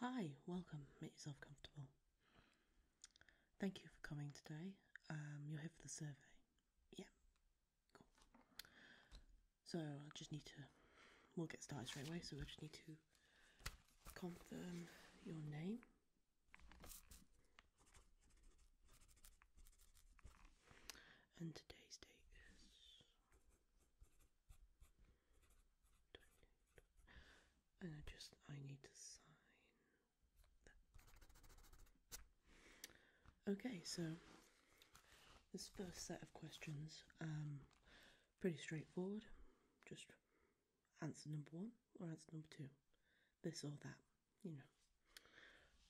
Hi, welcome. Make yourself comfortable. Thank you for coming today. Um, you're here for the survey. Yeah, So I just need to. We'll get started straight away. So I just need to confirm your name. And today's date is and I just I need to sign. Okay, so this first set of questions, um, pretty straightforward. Just answer number one or answer number two, this or that. You know,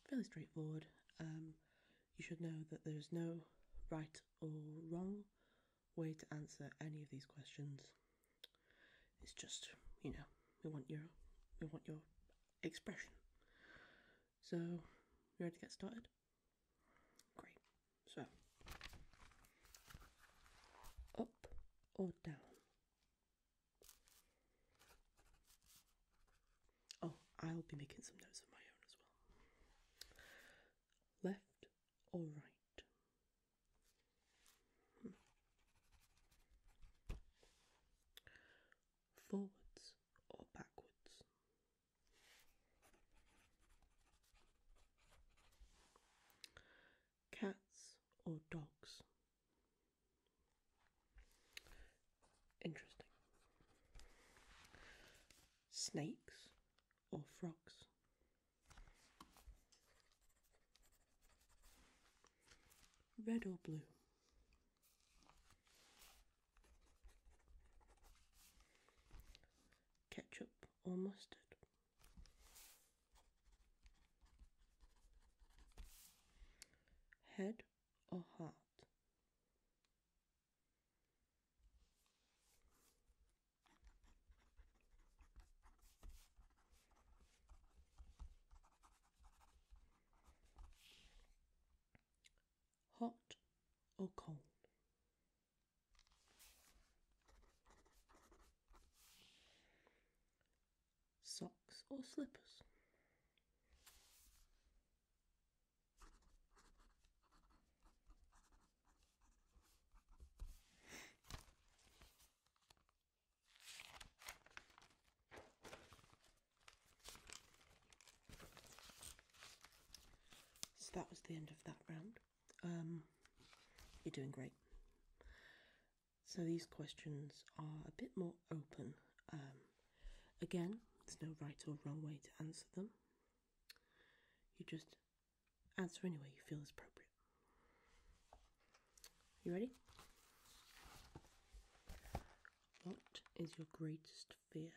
fairly straightforward. Um, you should know that there's no right or wrong way to answer any of these questions. It's just, you know, we want your we want your expression. So, you ready to get started? Great. So, up or down? Oh, I'll be making some notes of my own as well. Left all right. Forwards or backwards? Cats or dogs? Interesting. Snakes or frocks. Red or blue? Ketchup or mustard? Head or heart? Hot or cold? Socks or slippers? So that was the end of that round. Um, you're doing great. So these questions are a bit more open. Um, again, there's no right or wrong way to answer them. You just Answer any way you feel is appropriate. You ready? What is your greatest fear?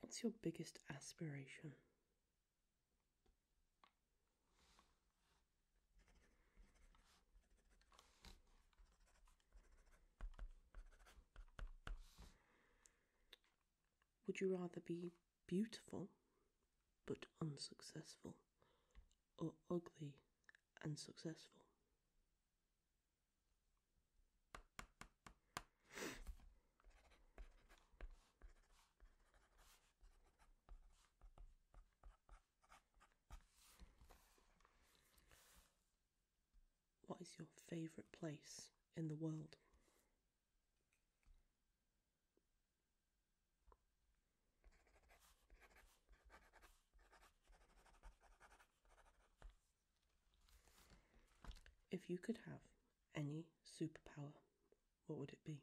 What's your biggest aspiration? Would you rather be beautiful but unsuccessful or ugly and successful? What is your favourite place in the world? If you could have any superpower, what would it be?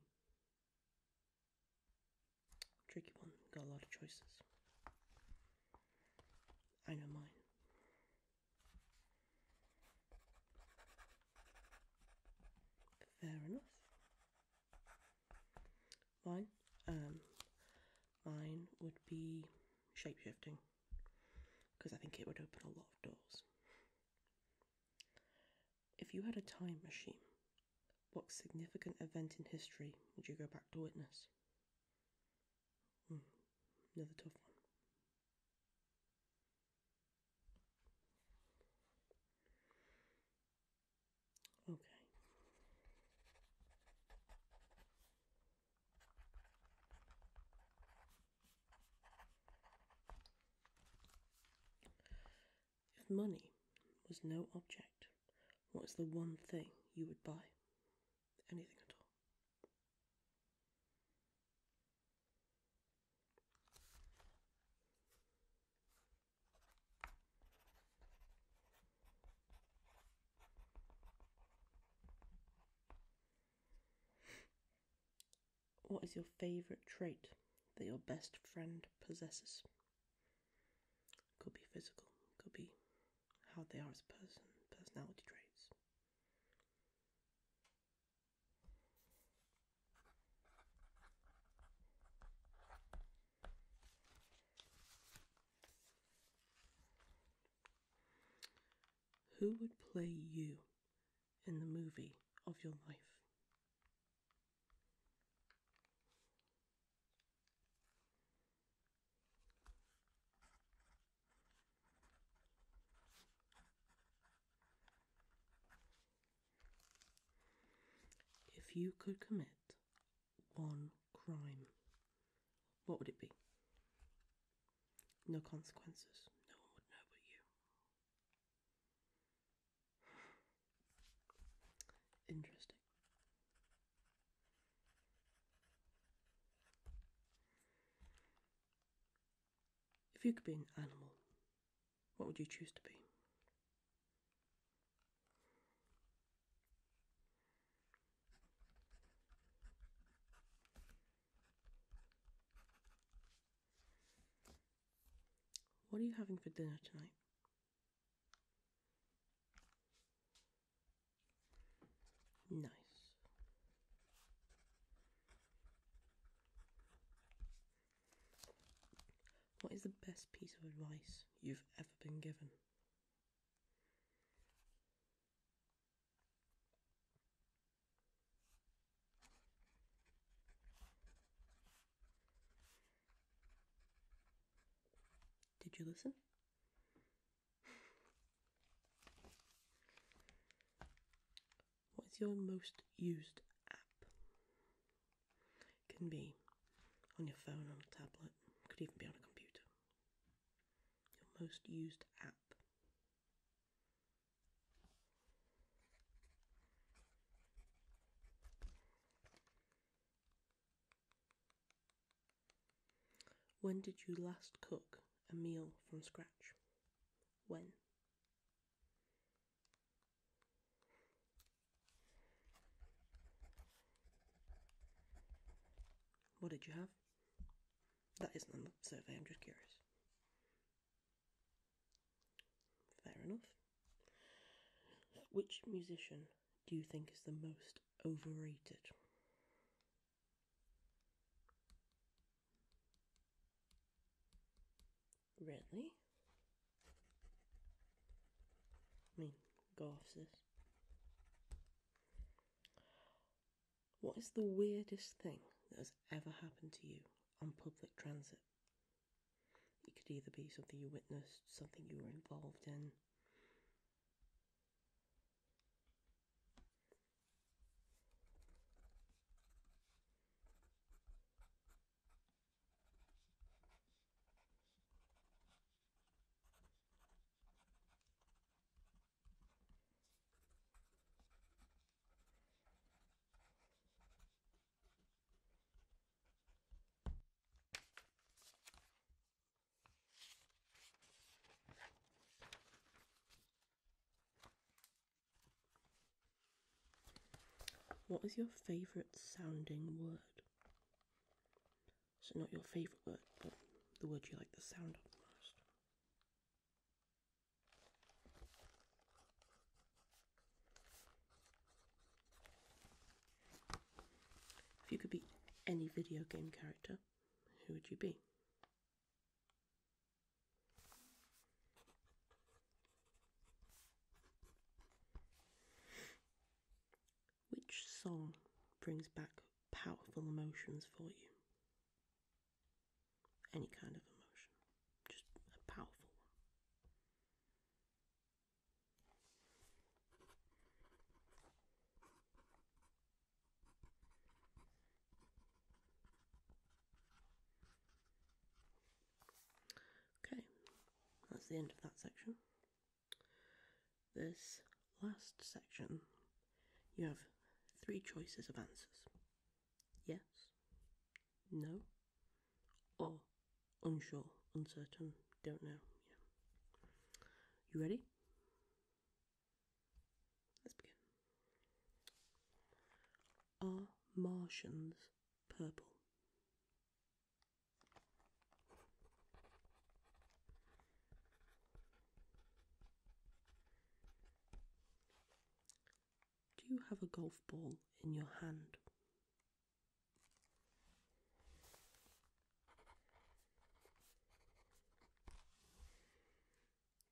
Tricky one, got a lot of choices. I know mine. Fair enough. Mine, um, mine would be shapeshifting because I think it would open a lot of doors. If you had a time machine, what significant event in history would you go back to witness? Hmm, another tough one. Okay. If money was no object, what is the one thing you would buy? Anything at all. What is your favourite trait that your best friend possesses? Could be physical, could be how they are as a person, personality traits. Who would play you in the movie of your life? If you could commit one crime, what would it be? No consequences. No one would know about you. Interesting. If you could be an animal, what would you choose to be? What are you having for dinner tonight? Nice. What is the best piece of advice you've ever been given? Did you listen? What's your most used app? It can be on your phone, on a tablet, could even be on a computer your most used app. When did you last cook a meal from scratch? When? What did you have? That isn't on the survey, I'm just curious. Fair enough. Which musician do you think is the most overrated? Really? I mean, go off what is the weirdest thing that has ever happened to you on public transit? It could either be something you witnessed, something you were involved in. What is your favourite sounding word? So, not your favourite word, but the word you like the sound of most. If you could be any video game character, who would you be? Which song brings back powerful emotions for you. Any kind of emotion, just a powerful one. Okay, that's the end of that section this last section, you have three choices of answers yes, no, or unsure, uncertain, don't know. You ready? Let's begin. Are Martians purple? Do you have a golf ball in your hand?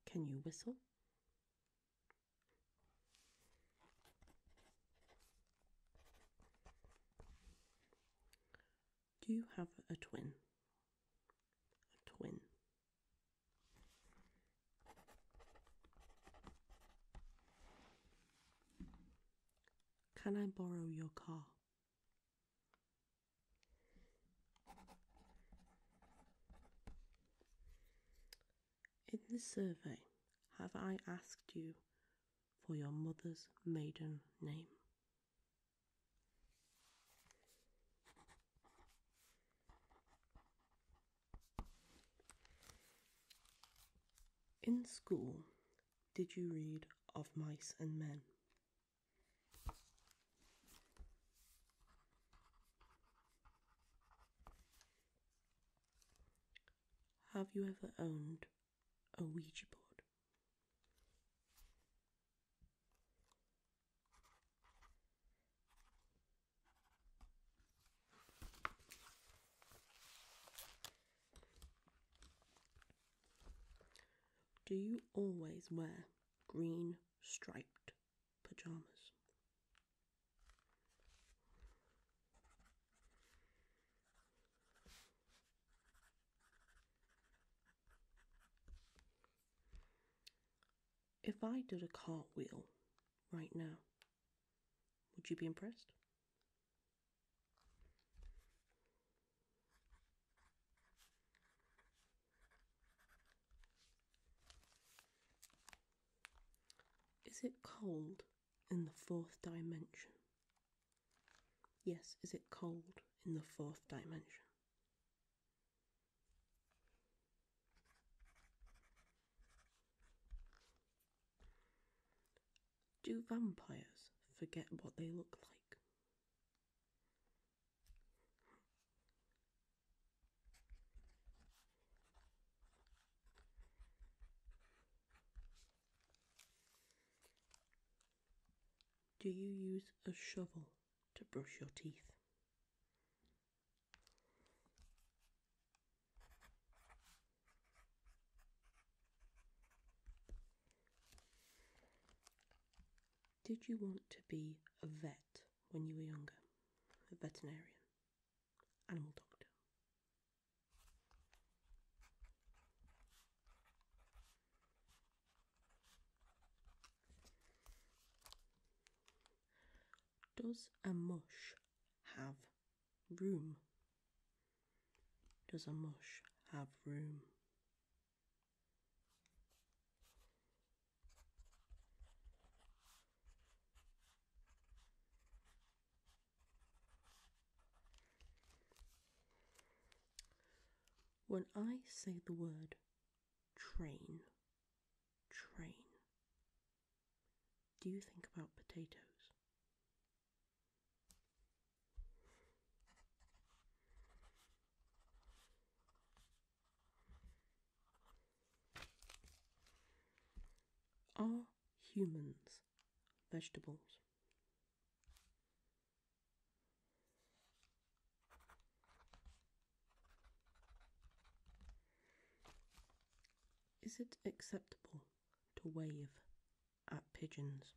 Can you whistle? Do you have a twin a twin. Can I borrow your car? In this survey, have I asked you for your mother's maiden name? In school, did you read Of Mice and Men? Have you ever owned a Ouija board? Do you always wear green striped pajamas? If I did a cartwheel right now, would you be impressed? Is it cold in the fourth dimension? Yes, is it cold in the fourth dimension? Do vampires forget what they look like? Do you use a shovel? to brush your teeth. Did you want to be a vet when you were younger? A veterinarian? Animal doctor? Does a mush have room? Does a mush have room? When I say the word train, train. Do you think about potatoes? Are humans vegetables? Is it acceptable to wave at pigeons?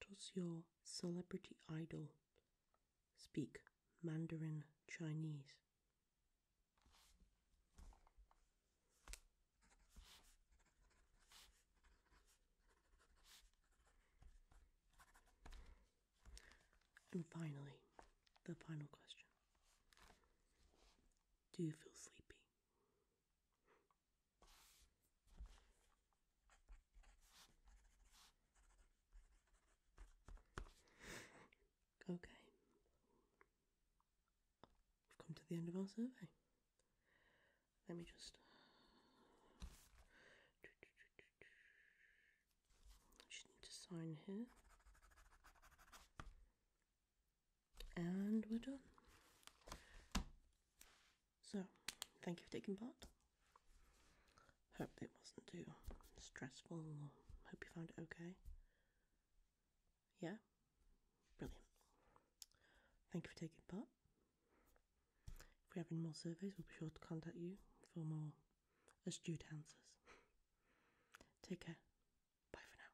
Does your celebrity idol speak Mandarin Chinese? And finally, the final question Do you feel sleepy? Okay. We've come to the end of our survey. Let me just just need to sign here. And we're done. So, thank you for taking part. Hope it wasn't too stressful. Hope you found it okay. Yeah? Brilliant. Thank you for taking part. If we have any more surveys, we'll be sure to contact you for more astute answers. Take care. Bye for now.